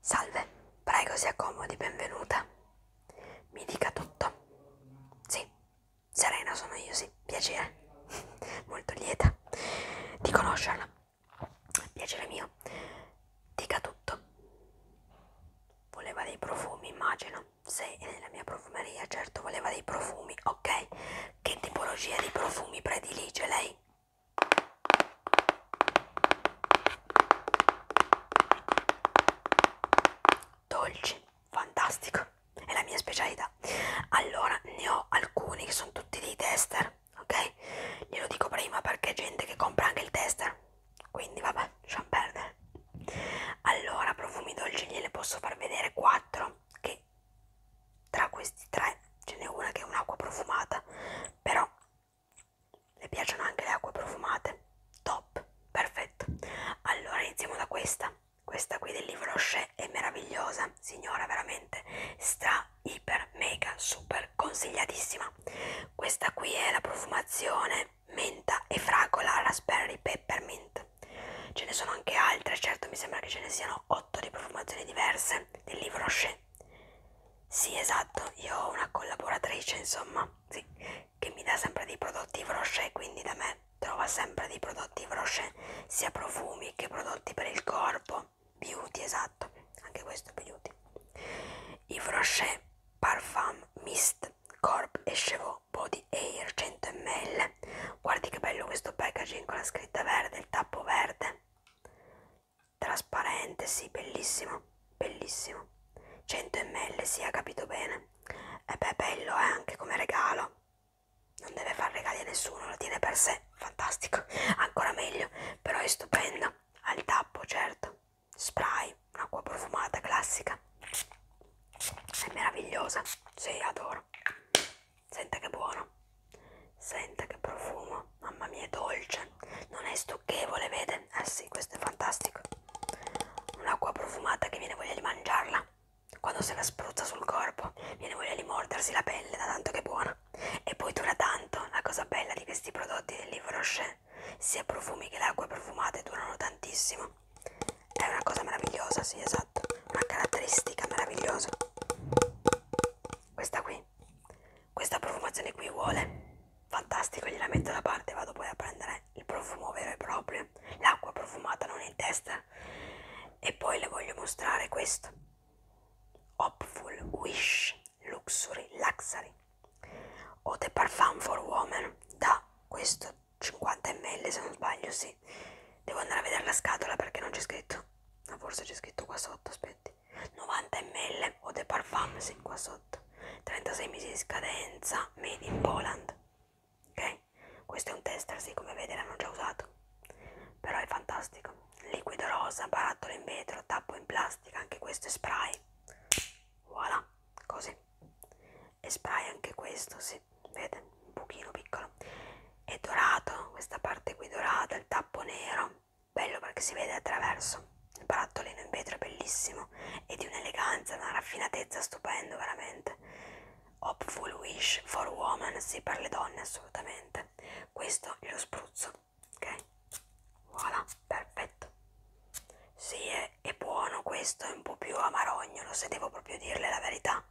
Salve, prego si accomodi, benvenuta. Mi dica tutto. Sì, Serena sono io, sì, piacere. Eh? Molto lieta di conoscerla. Piacere mio dica tutto. Voleva dei profumi, immagino. Se è nella mia profumeria, certo, voleva dei profumi, ok? Che tipologia di profumi predilige lei? Dolci, fantastico, è la mia specialità. Allora, ne ho alcuni che sono tutti dei tester, ok? Glielo dico prima perché gente che compra anche il tester quindi vabbè lasciamo perdere allora profumi dolci gliele posso far vedere 4 che tra questi tre ce n'è una che è un'acqua profumata però le piacciono anche le acque profumate top perfetto allora iniziamo da questa questa qui del libro Rocher è meravigliosa signora veramente stra iper mega super consigliatissima questa qui è la profumazione menta e fragola raspberry peppermint. Ce ne sono anche altre, certo mi sembra che ce ne siano 8 di profumazioni diverse del libro Rocher. Sì, esatto, io ho una collaboratrice, insomma, sì, che mi dà sempre dei prodotti Yves Rocher, quindi da me trova sempre dei prodotti Yves Rocher, sia profumi che prodotti per il corpo. Beauty, esatto, anche questo è beauty. Yves Rocher Parfum Mist Corp e Chevaux Body Air 100 ml guardi che bello questo packaging con la scritta verde, il tappo verde trasparente, sì, bellissimo bellissimo 100 ml, si sì, ha capito bene e eh beh, bello eh, anche come regalo non deve fare regali a nessuno, lo tiene per sé fantastico, ancora meglio però è stupendo, ha il tappo certo spray, acqua profumata classica, è meravigliosa, sì adoro, senta che buono, senta che profumo, mamma mia è dolce, non è stucchevole vede, eh sì questo è fantastico, un'acqua profumata che viene voglia di mangiarla, quando se la spruzza sul corpo viene voglia di mordersi la pelle da tanto che è buona e poi dura tanto, la cosa bella di questi prodotti del livro Rocher sia profumi che le acque profumate durano tantissimo. È una cosa meravigliosa, sì, esatto. Una caratteristica meravigliosa. Questa qui. Questa profumazione qui vuole. Fantastico, gliela metto da parte e vado poi a prendere il profumo vero e proprio. L'acqua profumata non in testa. E poi le voglio mostrare questo. Hopful Wish Luxury Luxury o The Parfum for Women da questo 50 ml se non sbaglio sì devo andare a vedere la scatola perché non c'è scritto ma no, forse c'è scritto qua sotto aspetti 90 ml o The Parfum sì qua sotto 36 mesi di scadenza made in Poland ok questo è un tester sì come vedi l'hanno già usato però è fantastico liquido rosa barattolo in vetro tappo in plastica anche questo è spray voilà così e spray anche questo si sì, vede un pochino piccolo è dorato questa parte qui dorata il tappo nero bello perché si vede attraverso il barattolino in vetro è bellissimo e di un'eleganza una raffinatezza stupendo veramente hopeful wish for women sì per le donne assolutamente questo glielo spruzzo ok voilà perfetto sì è, è buono questo è un po' più amarognolo se devo proprio dirle la verità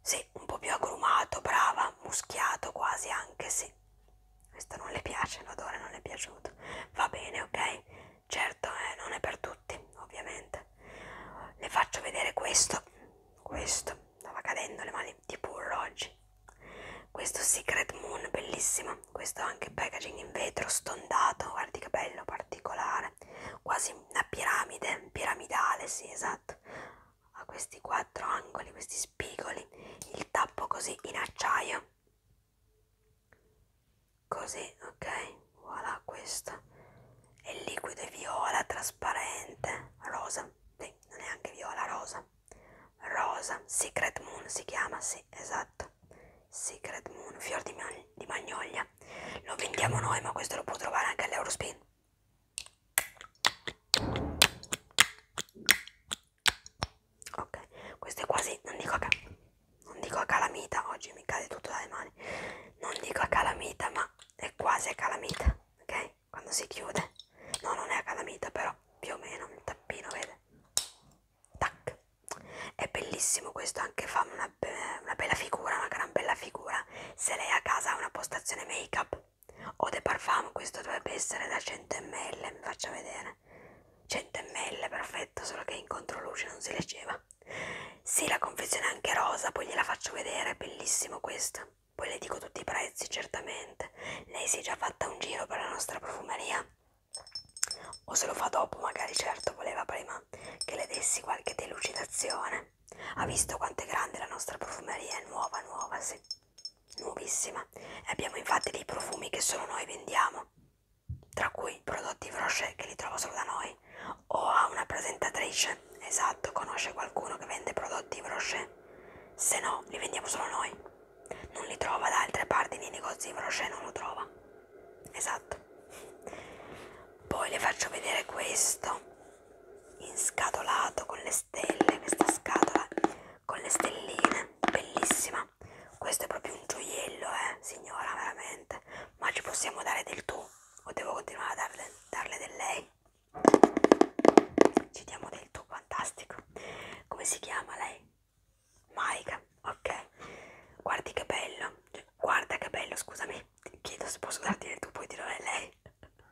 sì un po' più agrumato brava muschiato quasi anche sì questo non le piace l'odore non le è piaciuto va bene ok certo eh, non è per tutti ovviamente le faccio vedere questo questo stava cadendo le mani tipo un oggi questo Secret Moon bellissimo questo anche packaging in vetro stondato guardi che bello particolare quasi una piramide piramidale sì esatto ha questi quattro angoli questi spigoli il tappo così in acciaio così ok voilà questo e il liquido è viola trasparente rosa sì, non è anche viola rosa rosa, Secret Moon si chiama, sì, esatto, Secret Moon, fior di, mag di magnolia, lo vendiamo noi ma questo lo può trovare anche all'Eurospin. Ok, questo è quasi, non dico a, ca non dico a calamita, oggi mi cade tutto dalle mani, non dico a calamita ma è quasi a calamita, ok? Quando si chiude, no non è a calamita però, più o meno, il tappino, vede? tac è bellissimo questo anche fa una, be una bella figura una gran bella figura se lei a casa ha una postazione make up o de parfum questo dovrebbe essere da 100 ml mi faccia vedere 100 ml perfetto solo che in controluce non si leggeva sì la confezione è anche rosa poi gliela faccio vedere è bellissimo questo poi le dico tutti i prezzi certamente Forest. Lei si è già fatta un giro per la nostra profumeria? O se lo fa dopo, magari certo voleva prima che le dessi qualche delucidazione. Ha visto quanto è grande la nostra profumeria, è nuova, nuova, sì, nuovissima. E abbiamo infatti dei profumi che solo noi vendiamo, tra cui prodotti Roche che li trova solo da noi. O ha una presentatrice, esatto, conosce qualcuno che vende prodotti Roche, se no li vendiamo solo noi non li trova da altre parti nei negozi di Prochet non lo trova esatto poi le faccio vedere questo inscatolato con le stelle questa scatola con le stelline bellissima questo è proprio un gioiello eh signora veramente ma ci possiamo dare del tu o devo continuare a darle, darle del lei ci diamo del tu fantastico come si chiama lei? Maika, ok, guardi che bello, cioè, guarda che bello, scusami, ti chiedo se posso darti del tu, poi dirò a lei,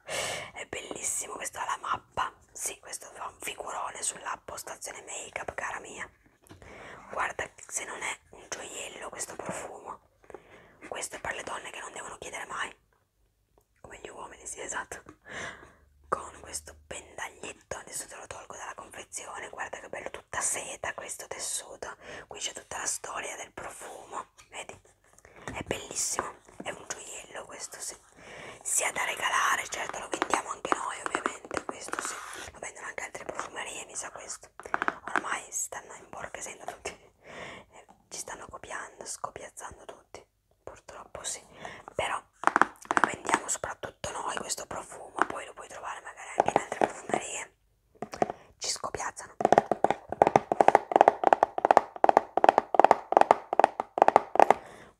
è bellissimo, questa è la mappa, sì, questo fa un figurone sulla postazione make up, cara mia, guarda se non è un gioiello questo profumo, questo è per le donne che non devono chiedere mai, come gli uomini, sì, esatto. Con questo pendaglietto, adesso te lo tolgo dalla confezione. Guarda che bello, tutta seta questo tessuto. Qui c'è tutta la storia del profumo, vedi? È bellissimo, è un gioiello questo, sì. Sia da regalare, certo, lo vendiamo anche noi, ovviamente. Questo sì, lo vendono anche altre profumerie, mi sa questo. Ormai stanno in borghesendo tutti, ci stanno copiando, scopiazzando tutti purtroppo sì, però lo vendiamo soprattutto noi questo profumo, poi lo puoi trovare magari anche in altre profumerie, ci scopiazzano.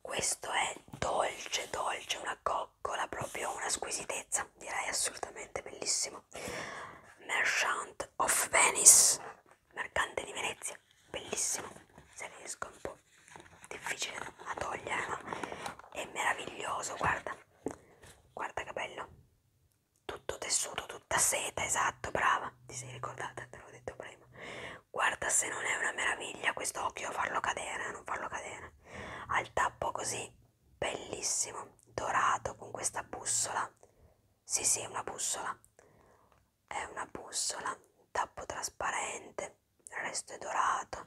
Questo è dolce, dolce, una coccola, proprio una squisitezza, direi assolutamente bellissimo. Merchant of Venice, mercante di Venezia, bellissimo, se riesco un po' difficile da togliere ma è meraviglioso guarda guarda che bello tutto tessuto tutta seta esatto brava ti sei ricordata te l'ho detto prima guarda se non è una meraviglia questo occhio farlo cadere non farlo cadere al tappo così bellissimo dorato con questa bussola sì sì è una bussola è una bussola, tappo trasparente, il resto è dorato,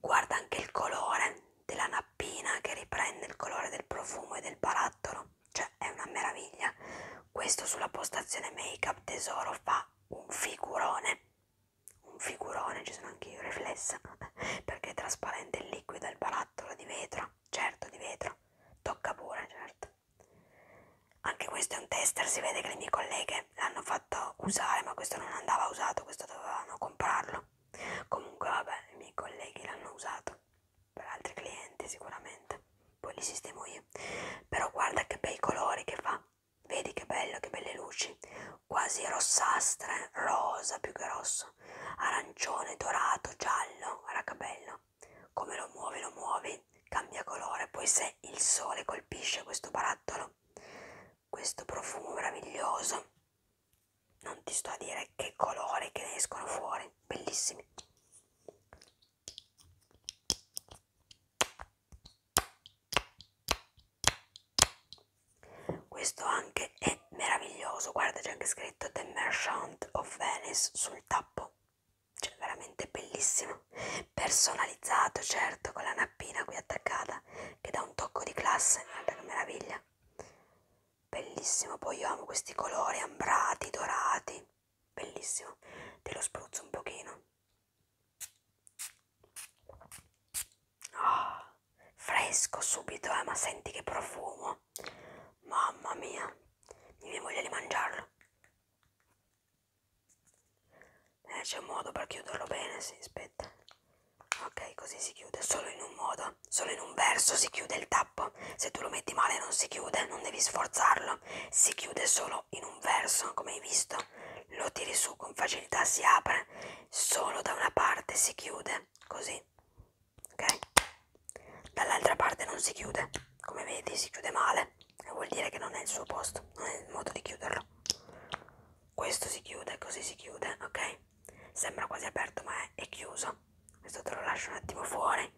guarda anche il colore della nappina che riprende il colore del profumo e del barattolo, cioè è una meraviglia. Questo sulla postazione make up tesoro fa un figurone, un figurone, ci sono anche io riflessa, perché è trasparente il liquido, il barattolo di vetro, certo di vetro, tocca pure, certo. Anche questo è un tester, si vede che le mie colleghe l'hanno fatto usare, ma questo non andava usato, questo dovevano comprarlo. Comunque vabbè, i miei colleghi l'hanno usato per altri clienti sicuramente, poi li sistemo io. Però guarda che bei colori che fa, vedi che bello, che belle luci, quasi rossastre, rosa più che rosso, arancione, dorato, giallo, guarda che bello. Come lo muovi, lo muovi, cambia colore, poi se il sole colpisce questo barattolo, questo profumo meraviglioso, non ti sto a dire che colori che ne escono fuori, bellissimi. Questo anche è meraviglioso, guarda c'è anche scritto The Merchant of Venice sul tappo, cioè veramente bellissimo, personalizzato certo, con la nappina qui attaccata, che dà un tocco di classe, guarda che meraviglia, bellissimo, poi io amo questi colori ambrati, dorati, bellissimo, te lo spruzzo un pochino, oh, fresco subito, eh, ma senti che profumo, mamma mia, mi viene voglia di mangiarlo. Eh, c'è un modo per chiuderlo bene, sì, aspetta. Ok, così si chiude solo in un modo, solo in un verso si chiude il tappo. Se tu lo metti male non si chiude, non devi sforzarlo. Si chiude solo in un verso, come hai visto. Lo tiri su con facilità, si apre, solo da una parte si chiude, così. Ok? Dall'altra parte non si chiude, come vedi si chiude male vuol dire che non è il suo posto, non è il modo di chiuderlo. Questo si chiude, così si chiude, ok? Sembra quasi aperto, ma è, è chiuso. Questo te lo lascio un attimo fuori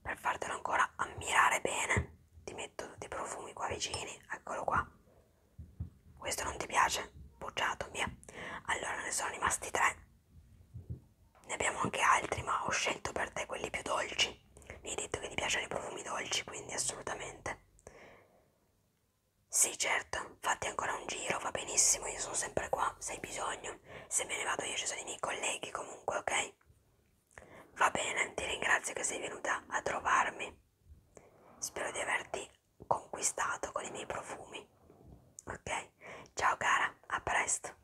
per fartelo ancora ammirare bene. Ti metto tutti i profumi qua vicini, eccolo qua. Questo non ti piace? Bocciato, via. Allora ne sono rimasti tre. Ne abbiamo anche altri, ma ho scelto per te quelli più dolci. Mi hai detto che ti piacciono i profumi dolci, quindi assolutamente. Sì, certo, fatti ancora un giro, va benissimo, io sono sempre qua, se hai bisogno. Se me ne vado io ci sono i miei colleghi comunque, ok? Va bene, ti ringrazio che sei venuta a trovarmi. Spero di averti conquistato con i miei profumi. Ok? Ciao cara, a presto.